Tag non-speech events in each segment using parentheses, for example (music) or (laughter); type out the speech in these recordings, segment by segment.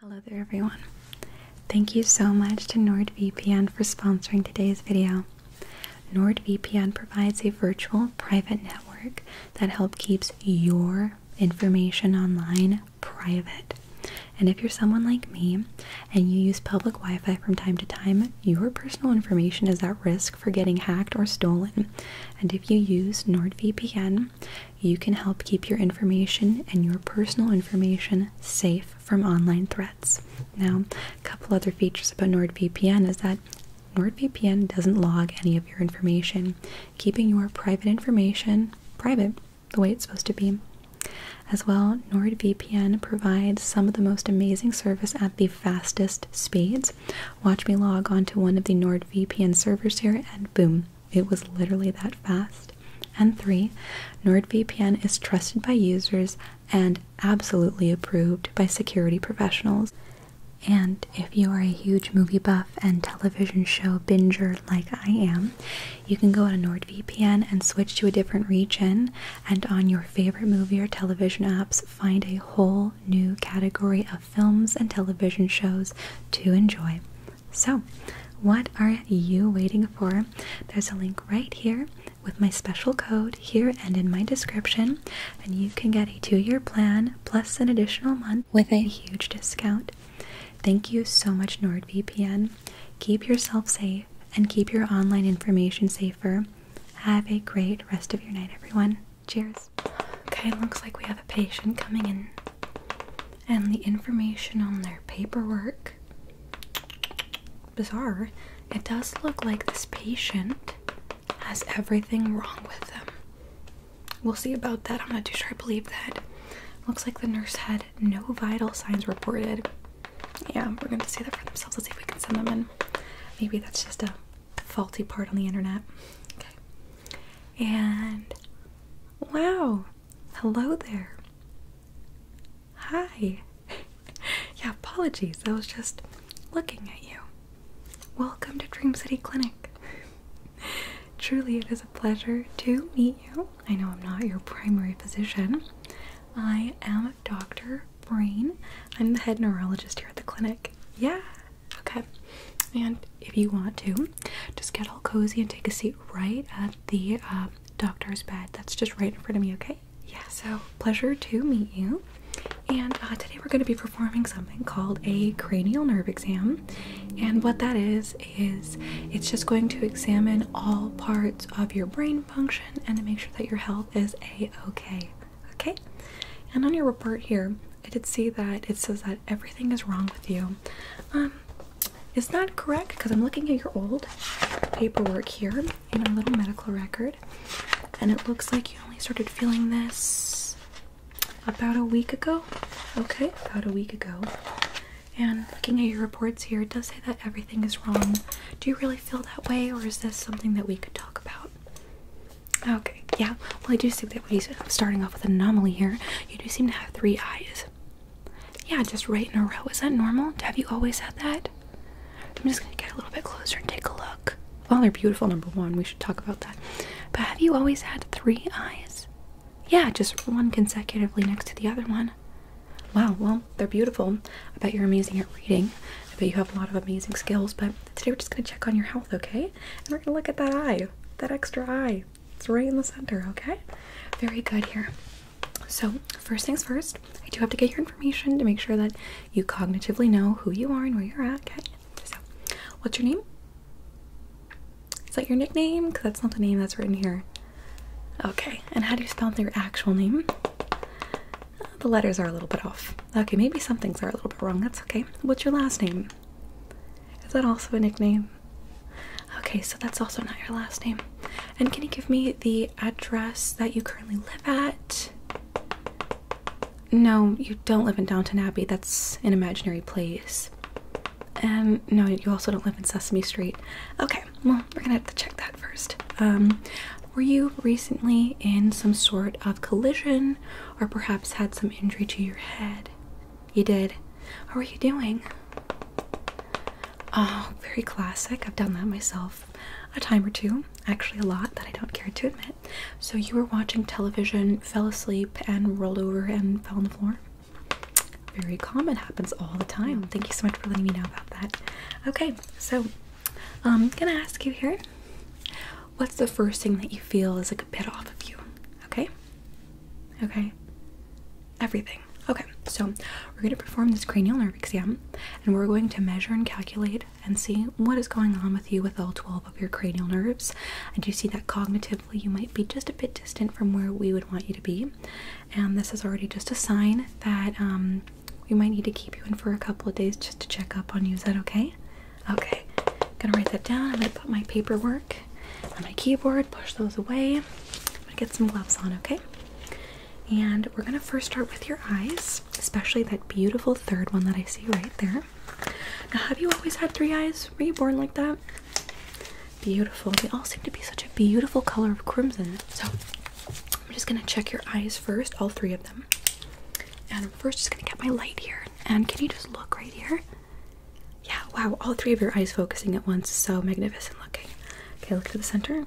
Hello there everyone. Thank you so much to NordVPN for sponsoring today's video. NordVPN provides a virtual private network that helps keeps your information online private. And if you're someone like me and you use public Wi-Fi from time to time, your personal information is at risk for getting hacked or stolen. And if you use NordVPN, you can help keep your information and your personal information safe from online threats. Now, a couple other features about NordVPN is that NordVPN doesn't log any of your information, keeping your private information private the way it's supposed to be. As well, NordVPN provides some of the most amazing service at the fastest speeds. Watch me log onto one of the NordVPN servers here, and boom, it was literally that fast. And three, NordVPN is trusted by users and absolutely approved by security professionals. And if you are a huge movie buff and television show binger like I am, you can go on NordVPN and switch to a different region and on your favorite movie or television apps find a whole new category of films and television shows to enjoy. So, what are you waiting for? There's a link right here with my special code here and in my description, and you can get a two year plan plus an additional month with a huge discount. Thank you so much, NordVPN. Keep yourself safe and keep your online information safer. Have a great rest of your night, everyone. Cheers. Okay, looks like we have a patient coming in and the information on their paperwork bizarre it does look like this patient has everything wrong with them we'll see about that i'm not too sure i believe that looks like the nurse had no vital signs reported yeah we're going to see that for themselves let's see if we can send them in maybe that's just a faulty part on the internet okay and wow Hello there. Hi. (laughs) yeah, apologies. I was just looking at you. Welcome to Dream City Clinic. (laughs) Truly, it is a pleasure to meet you. I know I'm not your primary physician. I am Dr. Brain. I'm the head neurologist here at the clinic. Yeah. Okay. And if you want to, just get all cozy and take a seat right at the uh, doctor's bed that's just right in front of me, okay? Yeah, so pleasure to meet you. And uh, today we're going to be performing something called a cranial nerve exam. And what that is, is it's just going to examine all parts of your brain function and to make sure that your health is a okay. Okay? And on your report here, I did see that it says that everything is wrong with you. Um, is that correct because I'm looking at your old paperwork here in our little medical record, and it looks like you only started feeling this about a week ago. Okay, about a week ago. And looking at your reports here, it does say that everything is wrong. Do you really feel that way, or is this something that we could talk about? Okay, yeah. Well, I do see that we are uh, starting off with an anomaly here. You do seem to have three eyes. Yeah, just right in a row. Is that normal? Have you always had that? I'm just gonna get a little bit closer and take a look. Well, oh, they're beautiful, number one. We should talk about that. But have you always had three eyes? Yeah, just one consecutively next to the other one. Wow, well, they're beautiful. I bet you're amazing at reading. I bet you have a lot of amazing skills. But today we're just gonna check on your health, okay? And we're gonna look at that eye, that extra eye. It's right in the center, okay? Very good here. So, first things first, I do have to get your information to make sure that you cognitively know who you are and where you're at, okay? So, what's your name? Is that your nickname? Because that's not the name that's written here. Okay, and how do you spell your actual name? Uh, the letters are a little bit off. Okay, maybe some things are a little bit wrong. That's okay. What's your last name? Is that also a nickname? Okay, so that's also not your last name. And can you give me the address that you currently live at? No, you don't live in Downton Abbey. That's an imaginary place. And um, no, you also don't live in Sesame Street. Okay, well, we're gonna have to check that first. Um, were you recently in some sort of collision or perhaps had some injury to your head? You did. How were you doing? Oh, very classic. I've done that myself a time or two, actually, a lot that I don't care to admit. So, you were watching television, fell asleep, and rolled over and fell on the floor? Very common, happens all the time. Thank you so much for letting me know about that. Okay, so I'm um, gonna ask you here what's the first thing that you feel is like a bit off of you? Okay, okay, everything. Okay, so we're going to perform this cranial nerve exam and we're going to measure and calculate and see what is going on with you with all 12 of your cranial nerves. I do see that cognitively you might be just a bit distant from where we would want you to be, and this is already just a sign that um, we might need to keep you in for a couple of days just to check up on you. Is that okay? Okay, I'm gonna write that down. I'm gonna put my paperwork my keyboard, push those away. i get some gloves on, okay? And we're gonna first start with your eyes, especially that beautiful third one that I see right there. Now, have you always had three eyes? Were you born like that? Beautiful. They all seem to be such a beautiful color of crimson. So I'm just gonna check your eyes first, all three of them. And I'm first just gonna get my light here. And can you just look right here? Yeah, wow, all three of your eyes focusing at once. So magnificent looking. Okay, look to the center.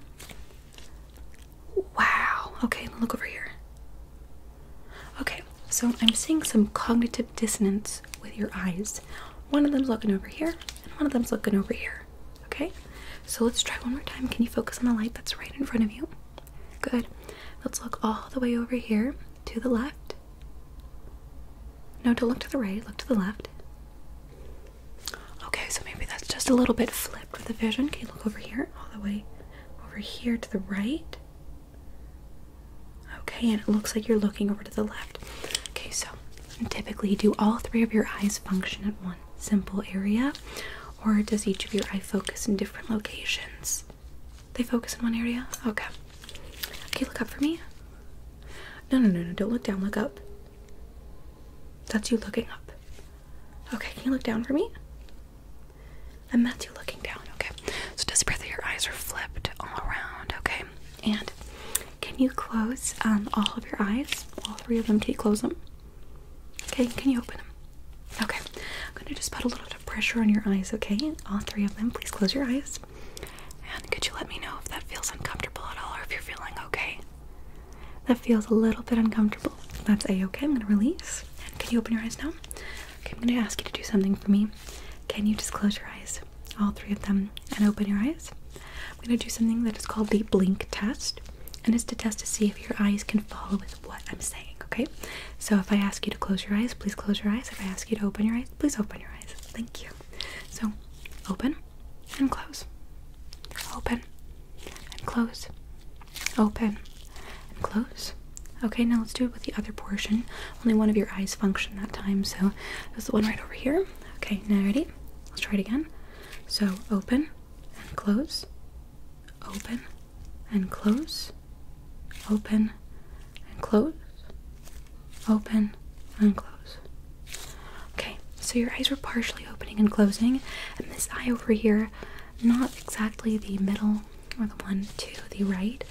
Wow. Okay, look over here. Okay, so I'm seeing some cognitive dissonance with your eyes. One of them's looking over here, and one of them's looking over here. Okay, so let's try one more time. Can you focus on the light that's right in front of you? Good. Let's look all the way over here to the left. No, don't look to the right, look to the left. Okay, so maybe that's just a little bit flipped with the vision. Can you look over here, all the way over here to the right? Okay, and it looks like you're looking over to the left. Okay, so typically, do all three of your eyes function at one simple area, or does each of your eye focus in different locations? They focus in one area? Okay. Okay, look up for me. No, no, no, no, don't look down, look up. That's you looking up. Okay, can you look down for me? And that's you looking down, okay. So just breath your eyes are flipped all around, okay? And can you close um, all of your eyes? All three of them, can you close them? Okay, can you open them? Okay, I'm gonna just put a little bit of pressure on your eyes, okay? All three of them, please close your eyes. And could you let me know if that feels uncomfortable at all or if you're feeling okay? That feels a little bit uncomfortable. That's a okay. I'm gonna release. can you open your eyes now? Okay, I'm gonna ask you to do something for me. Can you just close your eyes? All three of them and open your eyes. I'm gonna do something that is called the blink test. And it's to test to see if your eyes can follow with what I'm saying, okay? So if I ask you to close your eyes, please close your eyes. If I ask you to open your eyes, please open your eyes. Thank you. So open and close. Open and close. Open and close. Okay, now let's do it with the other portion. Only one of your eyes function that time, so that's the one right over here. Okay, now ready? Let's try it again. So open and close. Open and close. Open and close open, and close. Okay, so your eyes were partially opening and closing, and this eye over here, not exactly the middle or the one to the right,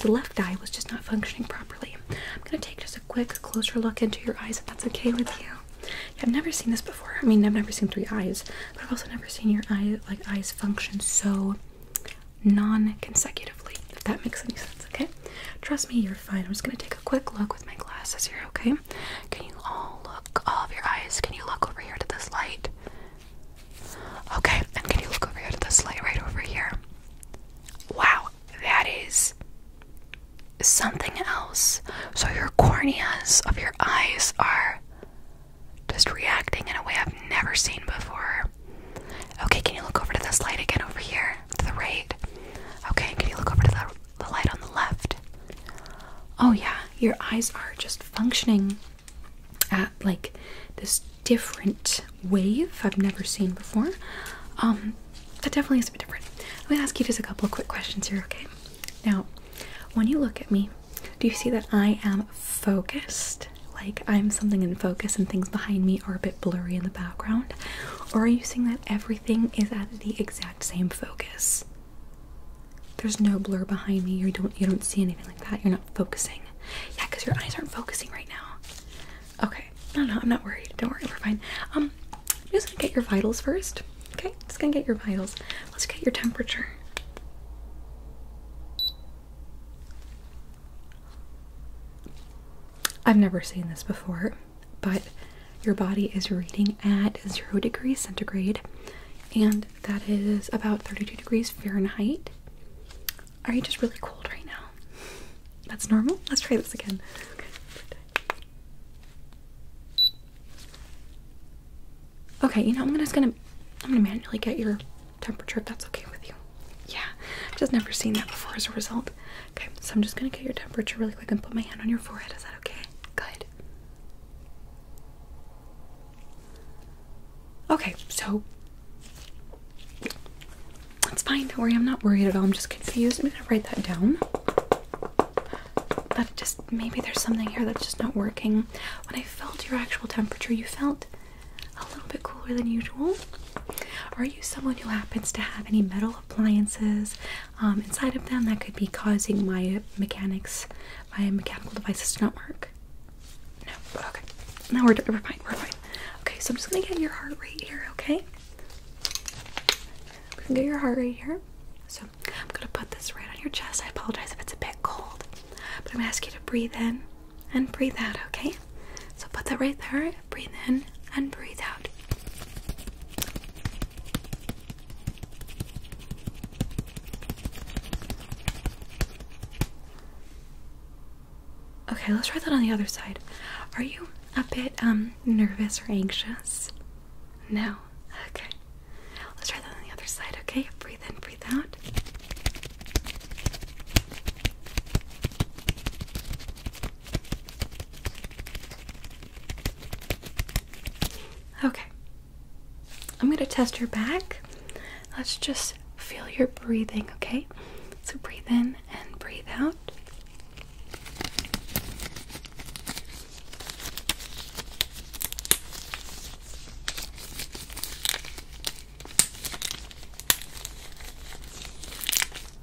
the left eye was just not functioning properly. I'm gonna take just a quick closer look into your eyes if that's okay with you. I've never seen this before. I mean, I've never seen three eyes, but I've also never seen your eye like eyes function so non-consecutively, if that makes any sense, okay? Trust me, you're fine. I'm just gonna take a quick look with my glasses here, okay? Can you all look, all of your eyes, can you look over here to this light? Okay, and can you look over here to this light right over here? Wow, that is something else. So your corneas of your eyes are just reacting in a way I've never seen before. Okay, can you look over to this light again over here? To the right. Okay, can you look over to the, the light on the left? Oh, yeah, your eyes are just functioning at like this different wave I've never seen before. Um, that definitely is a bit different. Let me gonna ask you just a couple of quick questions here, okay? Now, when you look at me, do you see that I am focused? Like I'm something in focus and things behind me are a bit blurry in the background. Or are you saying that everything is at the exact same focus? There's no blur behind me. You don't you don't see anything like that. You're not focusing. Yeah, because your eyes aren't focusing right now. Okay. No, no, I'm not worried. Don't worry, we're fine. Um, i just gonna get your vitals first. Okay, just gonna get your vitals. Let's get your temperature. I've never seen this before, but your body is reading at 0 degrees centigrade, and that is about 32 degrees Fahrenheit. Are you just really cold right now? That's normal? Let's try this again. Okay. Okay, you know, I'm just gonna I'm gonna manually get your temperature if that's okay with you. Yeah, I've just never seen that before as a result. Okay, so I'm just gonna get your temperature really quick and put my hand on your forehead. Is that okay? Good. Okay, so that's fine. Don't worry, I'm not worried at all. I'm just confused. I'm gonna write that down. That just maybe there's something here that's just not working. When I felt your actual temperature, you felt a little bit cooler than usual. Are you someone who happens to have any metal appliances um, inside of them that could be causing my mechanics, my mechanical devices to not work? No. Okay. Now we're, fine. We're fine. Okay, so I'm just gonna get your heart rate here. Okay. We can get your heart rate here. So I'm gonna put this right on your chest. I apologize if it's a bit cold, but I'm gonna ask you to breathe in and breathe out, okay? So put that right there, breathe in and breathe out. Okay, let's try that on the other side. Are you a bit um, nervous or anxious? No. Okay. Let's try that on the other side, okay? Breathe in, breathe out. Okay. I'm going to test your back. Let's just feel your breathing, okay? So breathe in and breathe out.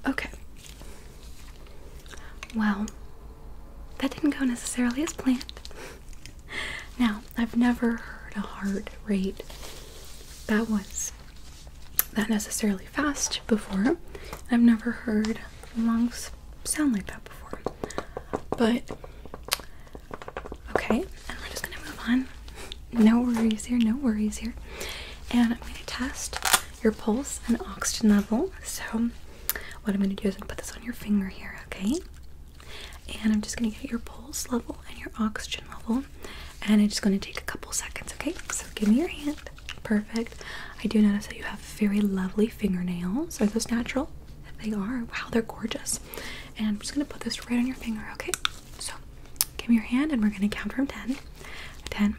Okay. Well, that didn't go necessarily as planned. now, I've never heard a heart rate that was that necessarily fast before. I've never heard lungs sound like that before. But okay, and we're just gonna move on no worries here, no worries here. And I'm going to test your pulse and oxygen level. So, what I'm going to do is I'm put this on your finger here, okay? And I'm just going to get your pulse level and your oxygen level. And it's just going to take a couple seconds, okay? So, give me your hand. Perfect. I do notice that you have very lovely fingernails. Are those natural? They are. Wow, they're gorgeous. And I'm just going to put this right on your finger, okay? So, Give me your hand and we're going to count from 10. 10,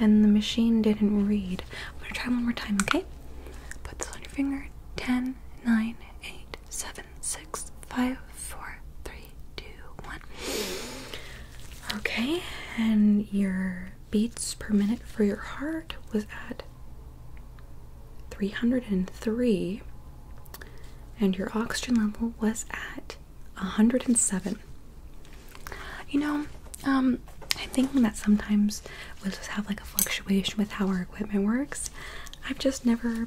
And the machine didn't read. I'm going to try one more time, okay? Put this on your finger. Ten, nine, eight, seven, six, five, four, three, two, one. Okay, and you're beats per minute for your heart was at 303 and your oxygen level was at 107 you know um i'm thinking that sometimes we'll just have like a fluctuation with how our equipment works i've just never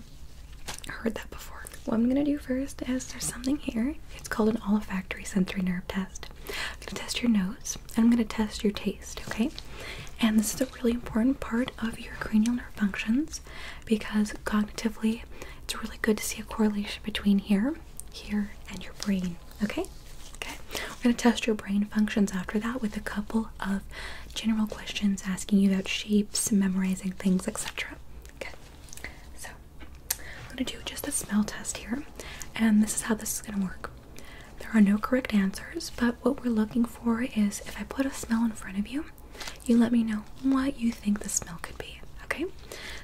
heard that before what i'm going to do first is there's something here it's called an olfactory sensory nerve test to test your nose I'm gonna test your taste, okay? And this is a really important part of your cranial nerve functions because cognitively it's really good to see a correlation between here, here, and your brain, okay? Okay, we're gonna test your brain functions after that with a couple of general questions asking you about shapes, memorizing things, etc. Okay, so I'm gonna do just a smell test here, and this is how this is gonna work. There are no correct answers, but what we're looking for is if I put a smell in front of you, you let me know what you think the smell could be. Okay?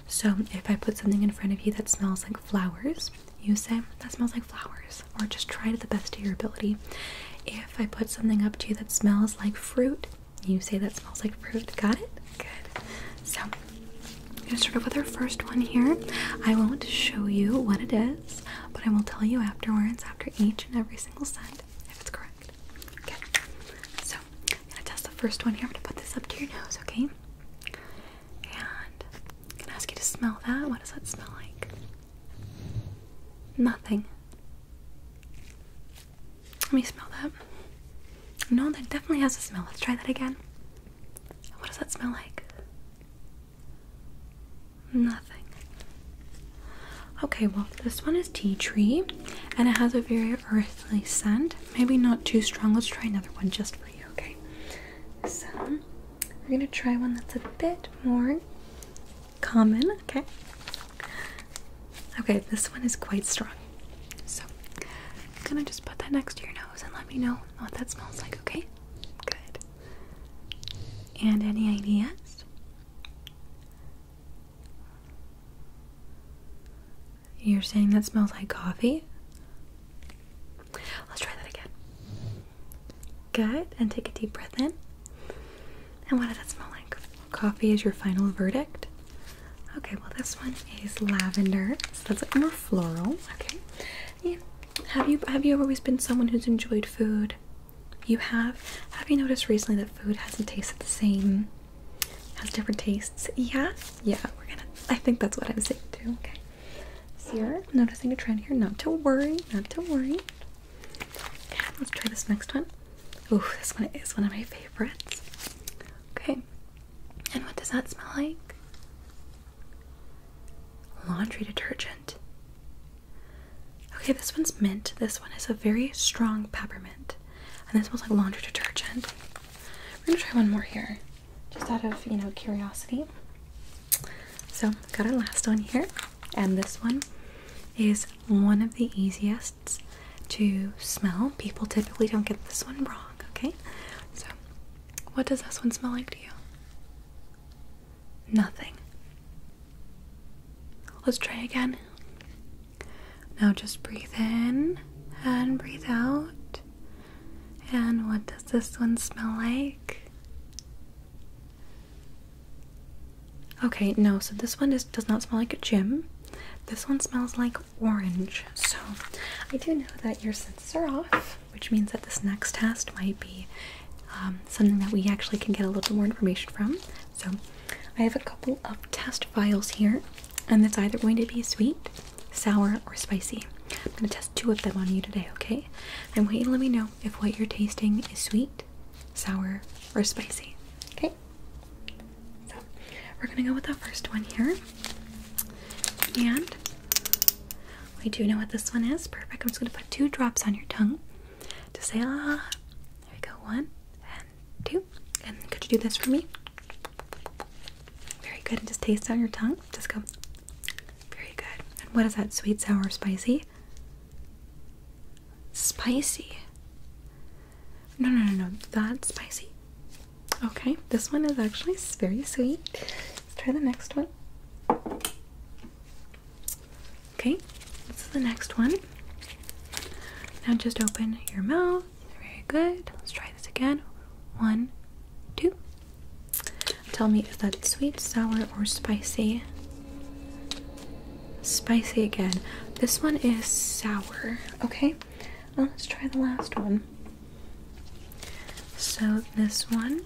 So if I put something in front of you that smells like flowers, you say that smells like flowers, or just try to the best of your ability. If I put something up to you that smells like fruit, you say that smells like fruit. Got it? Good. So I'm gonna start off with our first one here. I won't show you what it is, but I will tell you afterwards after each and every single scent if it's correct. Okay. So I'm gonna test the first one here. I'm gonna put this up to your nose, okay? And I'm gonna ask you to smell that. What does that smell like? Nothing. Let me smell that. No, that definitely has a smell. Let's try that again. What does that smell like? Nothing. Okay, well, this one is tea tree and it has a very earthy scent. Maybe not too strong. Let's try another one just for you, okay? So, we're gonna try one that's a bit more common, okay? Okay, this one is quite strong. So, I'm gonna just put that next to your nose and let me know what that smells like, okay? Good. And any ideas? You're saying that smells like coffee? Let's try that again. Good. And take a deep breath in. And what does that smell like? Coffee is your final verdict. Okay, well, this one is lavender, that's more floral. Okay. Have you have you always been someone who's enjoyed food? You have. Have you noticed recently that food hasn't tasted the same? Has different tastes. Yeah. Yeah. We're gonna. I think that's what I'm saying too. Okay. So you're noticing a trend here. Not to worry. Not to worry. let's try this next one. Oh, this one is one of my favorites. Okay. And what does that smell like? Laundry detergent. Okay, this one's mint. This one is a very strong peppermint. And this smells like laundry detergent. We're gonna try one more here, just out of you know curiosity. So got our last one here, and this one is one of the easiest to smell. People typically don't get this one wrong, okay? So what does this one smell like to you? Nothing. Let's try again. Now just breathe in and breathe out. And what does this one smell like? Okay, no, so this one is, does not smell like a gym. This one smells like orange. So I do know that your senses are off which means that this next test might be um, something that we actually can get a little more information from. So, I have a couple of test files here, and it's either going to be sweet, sour, or spicy. I'm going to test two of them on you today, okay? I want you to let me know if what you're tasting is sweet, sour, or spicy, okay? So, we're going to go with the first one here. And we do know what this one is. Perfect. I'm just going to put two drops on your tongue to say la. There we go. One and two. And could you do this for me? Very good. And just taste on your tongue. Just go. Very good. And what is that? Sweet, sour, spicy? Spicy. No, no, no, no. That's spicy. Okay, this one is actually very sweet. Let's try the next one. Okay, this is the next one. Now just open your mouth. Very good. Let's try this again. One, two. Tell me, is that sweet, sour, or spicy? Spicy again. This one is sour. Okay, well, let's try the last one. So this one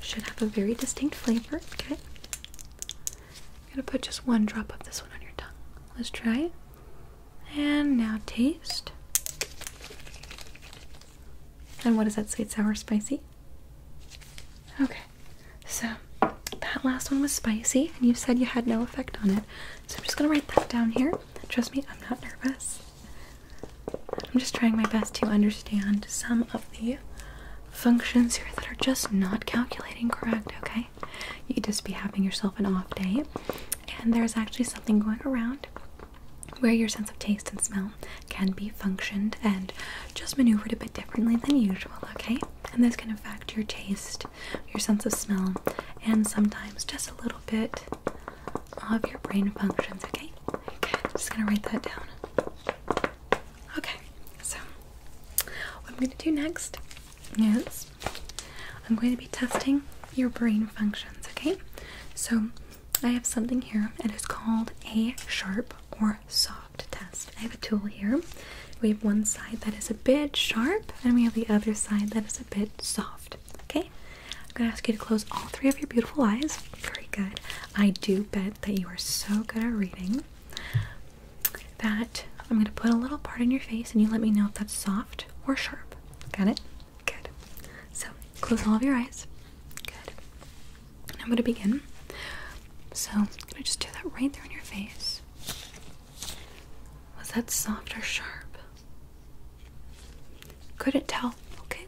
should have a very distinct flavor. Okay. I'm gonna put just one drop of this one on your tongue. Let's try it. And now taste. And what is that? Sweet, sour, spicy? Okay. So that last one was spicy, and you said you had no effect on it. So I'm just gonna write that down here. Trust me, I'm not nervous. I'm just trying my best to understand some of the functions here that are just not calculating correct, okay? You could just be having yourself an off day, and there's actually something going around where your sense of taste and smell can be functioned and just maneuvered a bit differently than usual, okay? And this can affect your taste, your sense of smell, and sometimes just a little bit all of your brain functions, okay? Okay, I'm just gonna write that down. Okay, so what I'm gonna do next is I'm going to be testing your brain functions, okay? So I have something here, it is called a sharp or soft test. I have a tool here. We have one side that is a bit sharp, and we have the other side that is a bit soft. Okay, I'm gonna ask you to close all three of your beautiful eyes. Very good. I do bet that you are so good at reading that I'm gonna put a little part in your face and you let me know if that's soft or sharp. Got it? Good. So close all of your eyes. Good. I'm gonna begin. So I'm gonna just do that right there in your face. Was that soft or sharp? Couldn't tell, okay?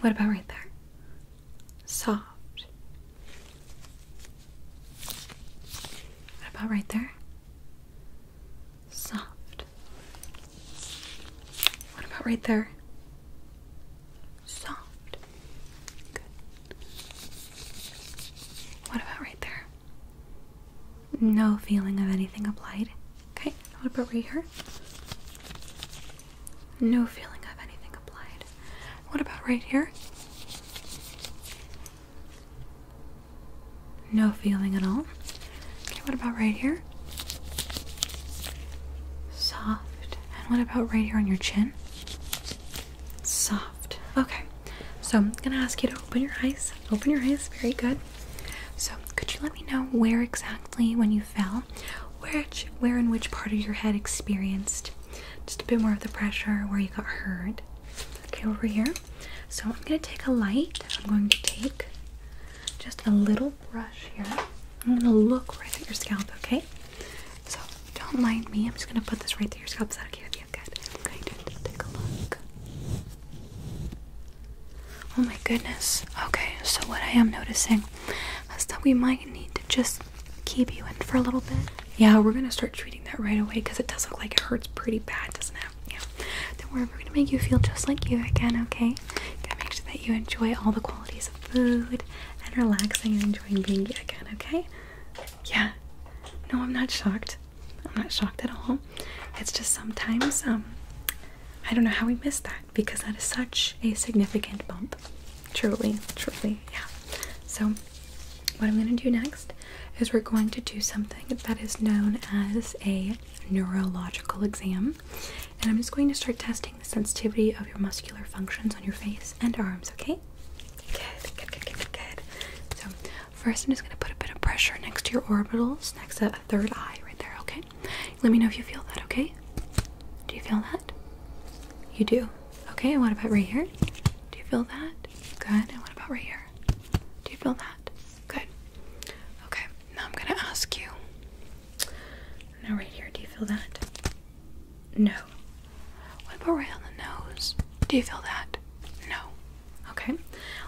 What about right there? Soft. What about right there? Soft. What about right there? Soft. Good. What about right there? No feeling of anything applied. Okay, what about right here? No feeling of anything applied. What about right here? No feeling at all. Okay, what about right here? Soft. And what about right here on your chin? Soft. Okay, so I'm gonna ask you to open your eyes. Open your eyes. Very good. So, could you let me know where exactly when you fell, where where in which part of your head experienced just a bit more of the pressure, where you got hurt? Okay, over here. So I'm gonna take a light. I'm going to take just a little brush here. I'm gonna look right at your scalp. Okay. So don't mind me. I'm just gonna put this right through your scalp. Is that okay with you? Good. I'm going to take a look. Oh my goodness. Okay, so what I am noticing is that we might need to just keep you in for a little bit. Yeah, we're gonna start treating that right away because it does look like it hurts pretty bad, doesn't it? Yeah. Then we're gonna make you feel just like you again, okay? Gonna make sure that you enjoy all the qualities of food and relaxing and enjoying being you again, okay? Yeah. No, I'm not shocked. I'm not shocked at all. It's just sometimes um I don't know how we missed that because that is such a significant bump. Truly, truly, yeah. So, what I'm going to do next is we're going to do something that is known as a neurological exam. And I'm just going to start testing the sensitivity of your muscular functions on your face and arms, okay? Good, good, good, good, So, first I'm just going to put a bit of pressure next to your orbitals, next third eye right there, okay? Let me know if you feel that, okay? Do you feel that? You do. Okay, and what about right here? Do you feel that? Good. And what about right here? Do you feel that? Good. Okay, now I'm gonna ask you. Now, right here, do you feel that? No. What about right on the nose? Do you feel that? No. Okay,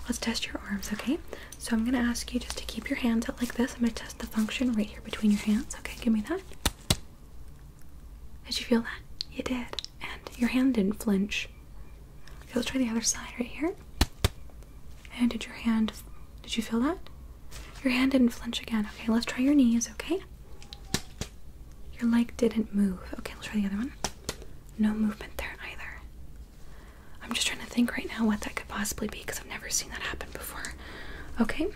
let's test your arms, okay? So I'm gonna ask you just to keep your hands out like this. I'm gonna test the function right here between your hands. Okay, give me that. Did you feel that? You did. And your hand didn't flinch. Okay, let's try the other side right here. And did your hand did you feel that? Your hand didn't flinch again. Okay, let's try your knees, okay? Your leg didn't move. Okay, let's try the other one. No movement there either. I'm just trying to think right now what that could possibly be because I've never seen that happen before. Okay,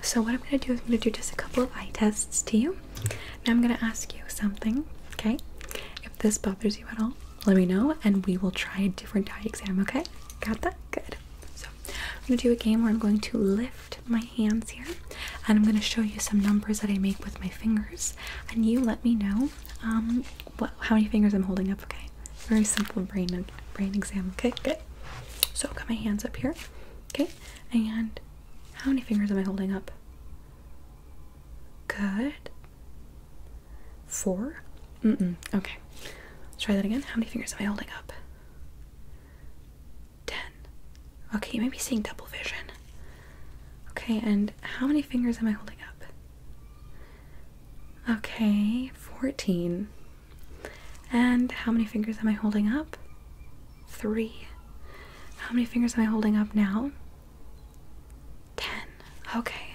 so what I'm going to do is I'm going to do just a couple of eye tests to you. Now I'm going to ask you something, okay? If this bothers you at all, let me know and we will try a different eye exam, okay? Got that? Good. So I'm going to do a game where I'm going to lift my hands here and I'm going to show you some numbers that I make with my fingers and you let me know what um, how many fingers I'm holding up, okay? Very simple brain brain exam, okay? Good. So I've got my hands up here, okay? And how many fingers am I holding up? Good. Four? Mm-mm. Okay. Let's try that again. How many fingers am I holding up? Ten. Okay, you may be seeing double vision. Okay, and how many fingers am I holding up? Okay, 14. And how many fingers am I holding up? Three. How many fingers am I holding up now? Ten. Okay.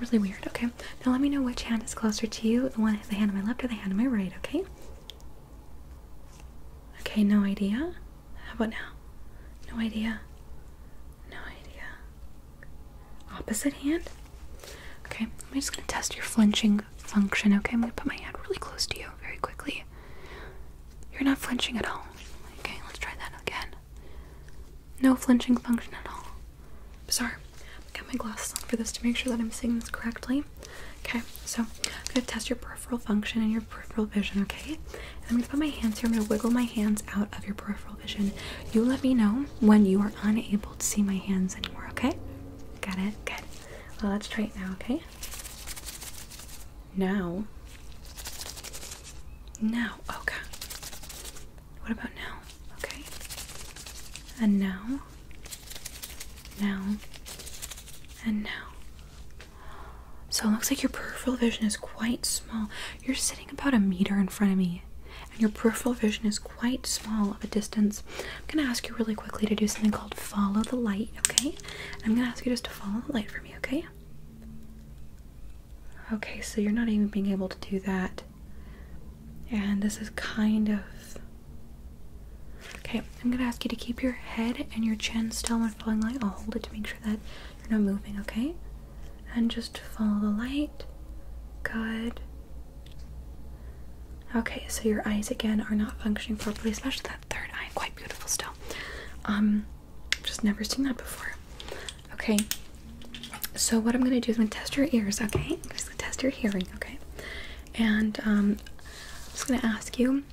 Really weird. Okay. Now let me know which hand is closer to you. The one hand on my left or the hand on my right, okay? Okay, no idea. How about now? No idea. No idea. Opposite hand? Okay, I'm just gonna test your flinching function, okay? I'm gonna put my hand really close to you very quickly. You're not flinching at all. Okay, let's try that again. No flinching function at all. Bizarre. I got my glasses on for this to make sure that I'm seeing this correctly. Okay, so I'm gonna test your peripheral function and your peripheral vision, okay? I'm gonna put my hands here, I'm gonna wiggle my hands out of your peripheral vision. You let me know when you are unable to see my hands anymore, okay? Got it? Good. Well, let's try it now, okay? Now. Now. Okay. Oh, what about now? Okay. And now. Now. And now. So it looks like your peripheral vision is quite small. You're sitting about a meter in front of me, and your peripheral vision is quite small of a distance, I'm gonna ask you really quickly to do something called follow the light, okay? I'm gonna ask you just to follow the light for me, okay? Okay, so you're not even being able to do that. And this is kind of. Okay, I'm gonna ask you to keep your head and your chin still when following light. I'll hold it to make sure that you're not moving, okay? and just follow the light. Good. Okay, so your eyes again are not functioning properly, especially that third eye. Quite beautiful still. Um, just never seen that before. Okay. So what I'm gonna do is I'm gonna test your ears. Okay, I'm just gonna test your hearing. Okay, and um, I'm just gonna ask you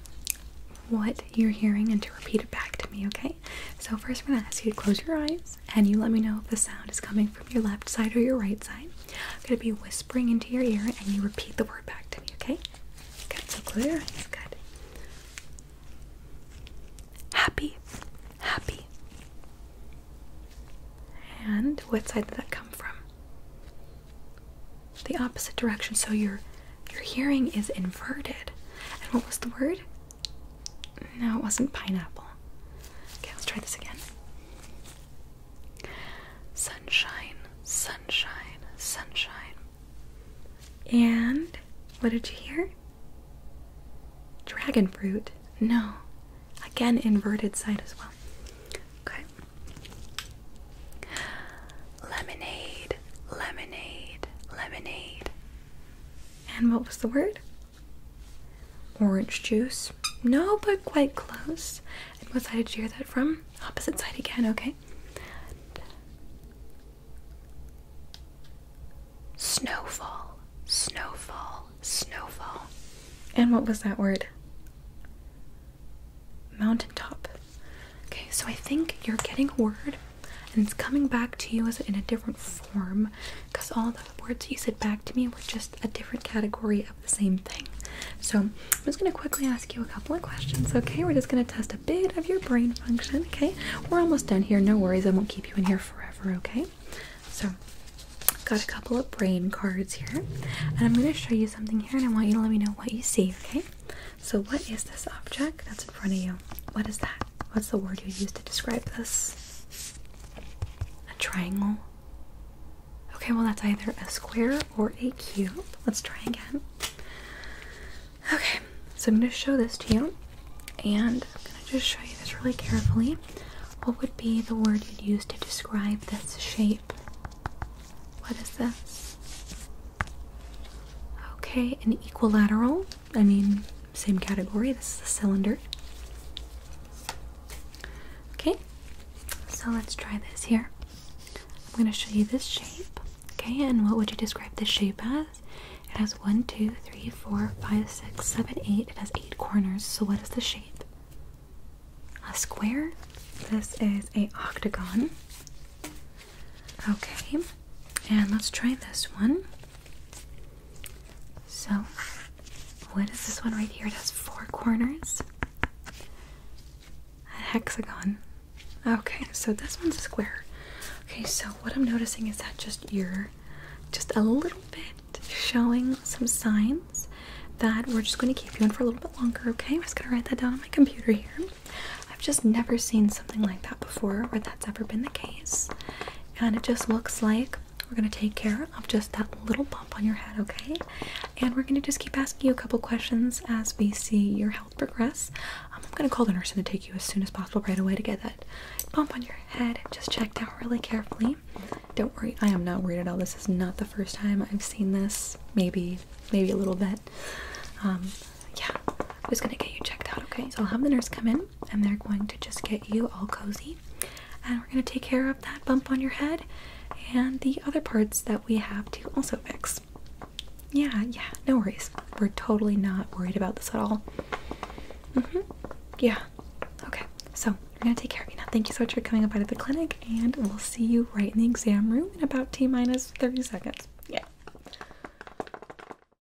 what you're hearing and to repeat it back to me. Okay so first I'm going to ask you to close your eyes and you let me know if the sound is coming from your left side or your right side. I'm going to be whispering into your ear and you repeat the word back to me, okay? Good, so close Good. Happy, happy. And what side did that come from? The opposite direction, so your your hearing is inverted. And what was the word? No, it wasn't pineapple. Okay, let's try this again. Sunshine, sunshine, sunshine. And what did you hear? Dragon fruit. No. Again, inverted side as well. Okay. Lemonade, lemonade, lemonade. And what was the word? Orange juice. No, but quite close. And what side did you hear that from? Opposite side again, okay. Snowfall, snowfall, snowfall. And what was that word? Mountaintop. Okay, so I think you're getting a word and it's coming back to you as in a different form because all the words you said back to me were just a different category of the same thing. So I'm just gonna quickly ask you a couple of questions, okay? We're just gonna test a bit of your brain function, okay? We're almost done here, no worries, I won't keep you in here forever, okay? So I've got a couple of brain cards here, and I'm gonna show you something here and I want you to let me know what you see, okay? So what is this object that's in front of you? What is that? what's the word you use to describe this? A triangle? Okay, well, that's either a square or a cube. Let's try again. Okay, so I'm going to show this to you, and I'm going to just show you this really carefully. What would be the word you'd use to describe this shape? What is this? Okay, an equilateral. I mean, same category. This is a cylinder. Okay, so let's try this here. I'm going to show you this shape. Okay, and what would you describe this shape as? It has one, two, three, four, five, six, seven, eight. It has eight corners. So what is the shape? A square. This is a octagon. Okay, and let's try this one. So, what is this one right here? It has four corners. A hexagon. Okay, so this one's a square. Okay, so what I'm noticing is that just you're just a little bit showing some signs that we're just going to keep you in for a little bit longer, okay? I'm just going to write that down on my computer here. I've just never seen something like that before or that's ever been the case and it just looks like we're going to take care of just that little bump on your head, okay? And we're going to just keep asking you a couple questions as we see your health progress. Um, I'm going to call the nurse in to take you as soon as possible right away to get that bump on your head just checked out really carefully. Don't worry, I am not worried at all. This is not the first time I've seen this. Maybe, maybe a little bit. Um, yeah, I'm just going to get you checked out, okay? So I'll have the nurse come in and they're going to just get you all cozy. And we're going to take care of that bump on your head and the other parts that we have to also fix. Yeah, yeah, no worries. We're totally not worried about this at all. Mm hmm. Yeah. Okay. So we're going to take care of you now. Thank you so much for coming up out of the clinic, and we'll see you right in the exam room in about T minus 30 seconds. Yeah.